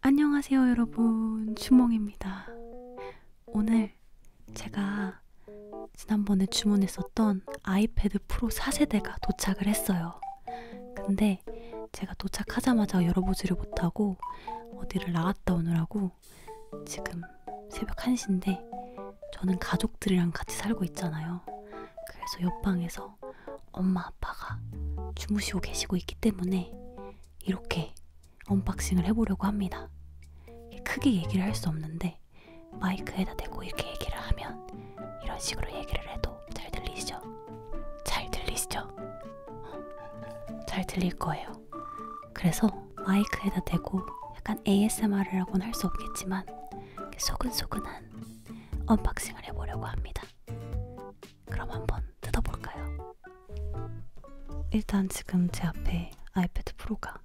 안녕하세요 여러분 주몽입니다 오늘 제가 지난번에 주문했었던 아이패드 프로 4세대가 도착을 했어요 근데 제가 도착하자마자 열어보지를 못하고 어디를 나갔다 오느라고 지금 새벽 1시인데 저는 가족들이랑 같이 살고 있잖아요 그래서 옆방에서 집에서 엄마 아빠가 주무시고 계시고 있기 때문에 이렇게 언박싱을 해보려고 합니다. 크게 얘기를 할 수 없는데 마이크에다 대고 이렇게 얘기를 하면 이런 식으로 얘기를 해도 잘 들리시죠? 잘 들리시죠? 잘 들릴 거예요. 그래서 마이크에다 대고 약간 ASMR이라고는 할 수 없겠지만 소근소근한 언박싱을 해보려고 합니다. 그럼 한번 뜯어볼까요? 일단 지금 제 앞에 아이패드 프로가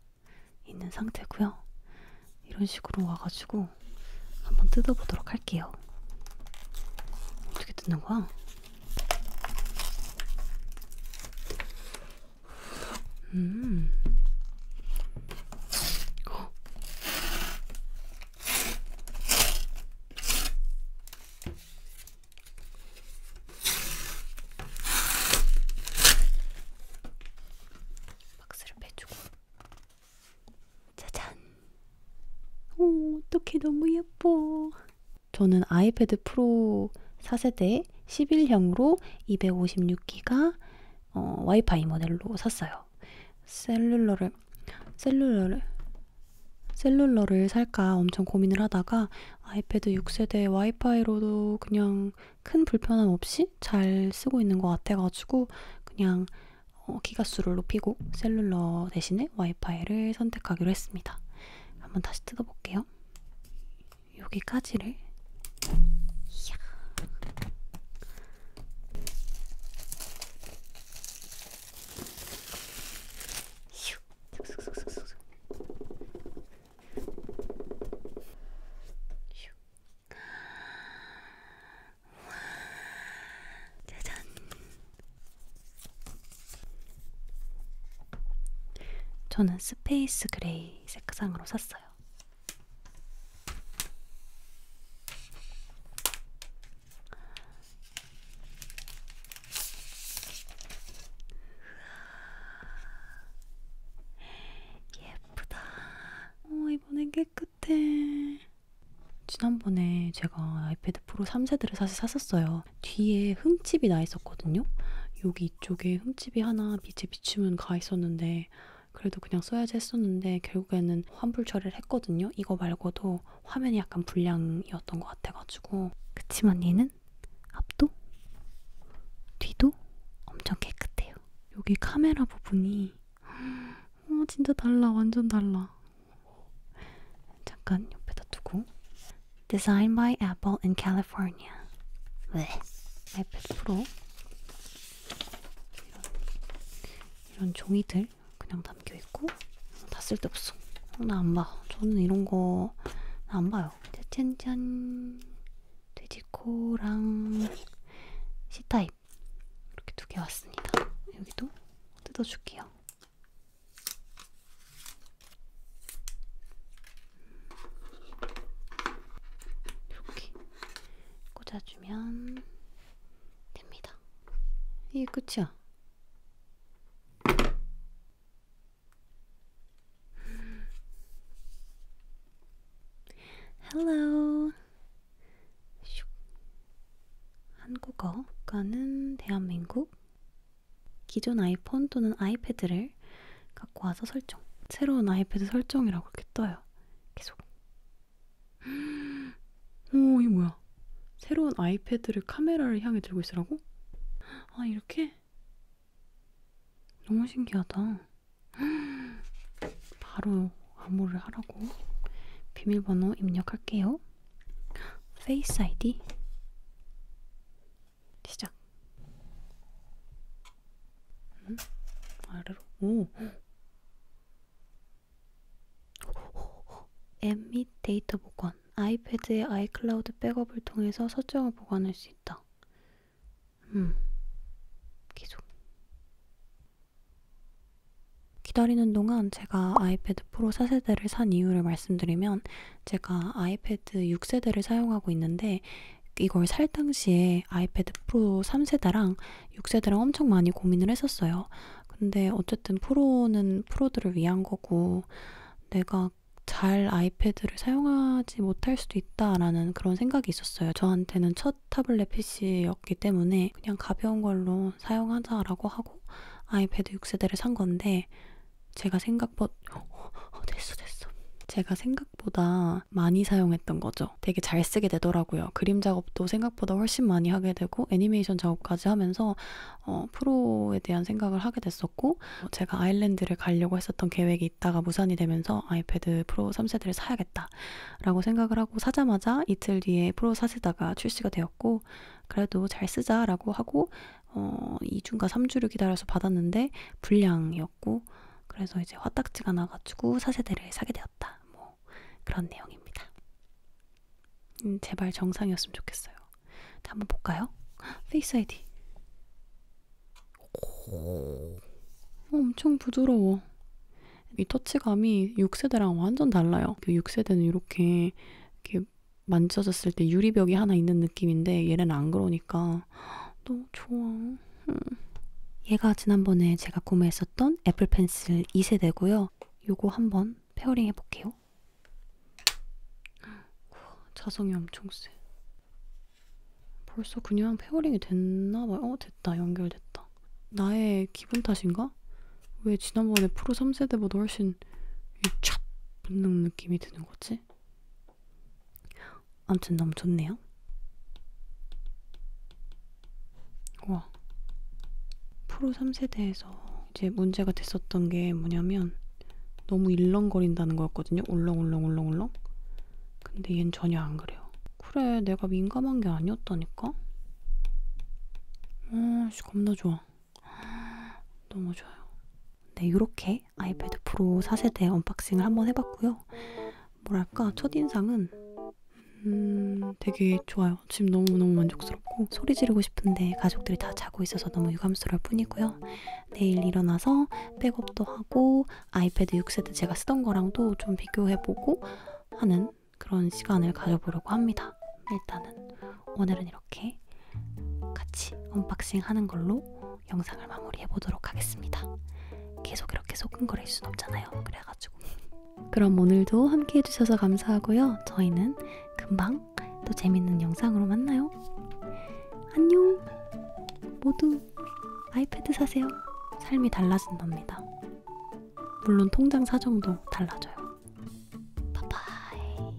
있는 상태고요. 이런 식으로 와가지고 한번 뜯어보도록 할게요. 어떻게 뜯는 거야? 음. 박스를 빼주고 짜잔! 오, 어떡해 너무 예뻐. 저는 아이패드 프로 4세대 11형으로 256기가 어, 와이파이 모델로 샀어요. 있어요. 셀룰러를 셀룰러를 셀룰러를 살까 엄청 고민을 하다가 아이패드 6세대 와이파이로도 그냥 큰 불편함 없이 잘 쓰고 있는 것 같아가지고 그냥 어, 기가수를 높이고 셀룰러 대신에 와이파이를 선택하기로 했습니다. 한번 다시 뜯어볼게요. 여기까지를 이야. 휴. 슥슥슥슥슥. 휴. 짜잔. 저는 스페이스 그레이 색상으로 샀어요. 예쁘다. 어, 이번엔 깨끗해. 지난번에 제가 아이패드 프로 3세대를 사실 샀었어요. 뒤에 흠집이 나 있었거든요. 여기 이쪽에 흠집이 하나 빛에 비추면 가 있었는데 그래도 그냥 써야지 했었는데 결국에는 환불 처리를 했거든요. 이거 말고도 화면이 약간 불량이었던 것 같아가지고 그치만 얘는 앞도 뒤도 엄청 깨끗해요. 여기 카메라 부분이 어, 진짜 달라 완전 달라. 잠깐 옆에다 두고 Designed by Apple in California. 왜? 아이패드 프로 이런, 이런 종이들 그냥 담겨 있고 다 쓸데없어. 어, 나 안 봐. 저는 이런 거 안 봐요. 짠짠 돼지코랑 C 타입 이렇게 두 개 왔습니다. 여기도 뜯어줄게요. 이렇게 꽂아주면 됩니다. 이게 끝이야. Hello. 한국어가는 대한민국 기존 아이폰 또는 아이패드를 갖고 와서 설정. 새로운 아이패드 설정이라고 이렇게 떠요. 계속. 오, 이 뭐야? 새로운 아이패드를 카메라를 향해 들고 있으라고? 아, 이렇게? 너무 신기하다. 바로 암호를 하라고. 비밀번호 입력할게요. 페이스 아이디 시작. 음? 아래로. 오. 앱및 데이터 보관. 아이패드의 아이클라우드 백업을 통해서 설정을 보관할 수 있다. 음. 계속. 기다리는 동안 제가 아이패드 프로 4세대를 산 이유를 말씀드리면 제가 아이패드 6세대를 사용하고 있는데 이걸 살 당시에 아이패드 프로 3세대랑 6세대랑 엄청 많이 고민을 했었어요. 근데 어쨌든 프로는 프로들을 위한 거고 내가 잘 아이패드를 사용하지 못할 수도 있다라는 그런 생각이 있었어요. 저한테는 첫 타블렛 PC였기 때문에 그냥 가벼운 걸로 어, 사용하자라고 하고 아이패드 6세대를 산 건데 제가 생각보다 어, 됐어 됐어 제가 생각보다 많이 사용했던 거죠. 되게 잘 쓰게 되더라고요. 그림 작업도 생각보다 훨씬 많이 하게 되고 애니메이션 작업까지 하면서 어, 프로에 대한 생각을 하게 됐었고 제가 아일랜드를 가려고 했었던 계획이 있다가 무산이 되면서 아이패드 프로 3세대를 사야겠다. 되겠다 라고 생각을 하고 사자마자 이틀 뒤에 프로 사세다가 출시가 되었고 그래도 잘 쓰자 라고 하고 어, 2주인가 3주를 기다려서 받았는데 불량이었고 그래서 이제 화딱지가 나가지고 사세대를 사게 되었다 뭐 그런 내용입니다 음, 제발 정상이었으면 좋겠어요 자, 한번 볼까요? 페이스 아이디 오, 엄청 부드러워 이 터치감이 6세대랑 완전 달라요. 6세대는 그 이렇게, 이렇게 만져졌을 때 유리벽이 하나 있는 느낌인데 얘는 안 그러니까 너무 좋아. 얘가 지난번에 제가 구매했었던 애플 펜슬 2세대고요. 요거 한번 페어링 해볼게요. 자성이 엄청 세. 벌써 그냥 페어링이 됐나봐요. 어, 됐다. 연결됐다. 나의 기분 탓인가? 왜 지난번에 프로 3세대보다 훨씬 촥 붙는 느낌이 드는 거지? 아무튼 너무 좋네요. 와. 프로 3세대에서 이제 문제가 됐었던 게 뭐냐면 너무 일렁거린다는 거였거든요. 울렁울렁울렁울렁. 근데 얘는 전혀 안 그래요. 그래, 내가 민감한 게 아니었다니까? 어, 아씨, 겁나 좋아. 너무 좋아요. 네, 이렇게 아이패드 프로 4세대 언박싱을 한번 해봤고요. 뭐랄까, 첫인상은 음, 되게 좋아요. 지금 너무너무 만족스럽고 소리 지르고 싶은데 가족들이 다 자고 있어서 너무 유감스러울 뿐이고요. 내일 일어나서 백업도 하고 아이패드 6세대 제가 쓰던 거랑도 좀 비교해보고 하는 그런 시간을 가져보려고 합니다. 일단은 오늘은 이렇게 같이 언박싱 하는 걸로 영상을 마무리해 보도록 하겠습니다. 계속 이렇게 소근거릴 순 없잖아요. 그래가지고. 그럼 오늘도 함께 해주셔서 감사하고요. 저희는 금방 또 재밌는 영상으로 만나요. 안녕! 모두 아이패드 사세요. 삶이 달라진답니다. 물론 통장 사정도 달라져요. 바이바이.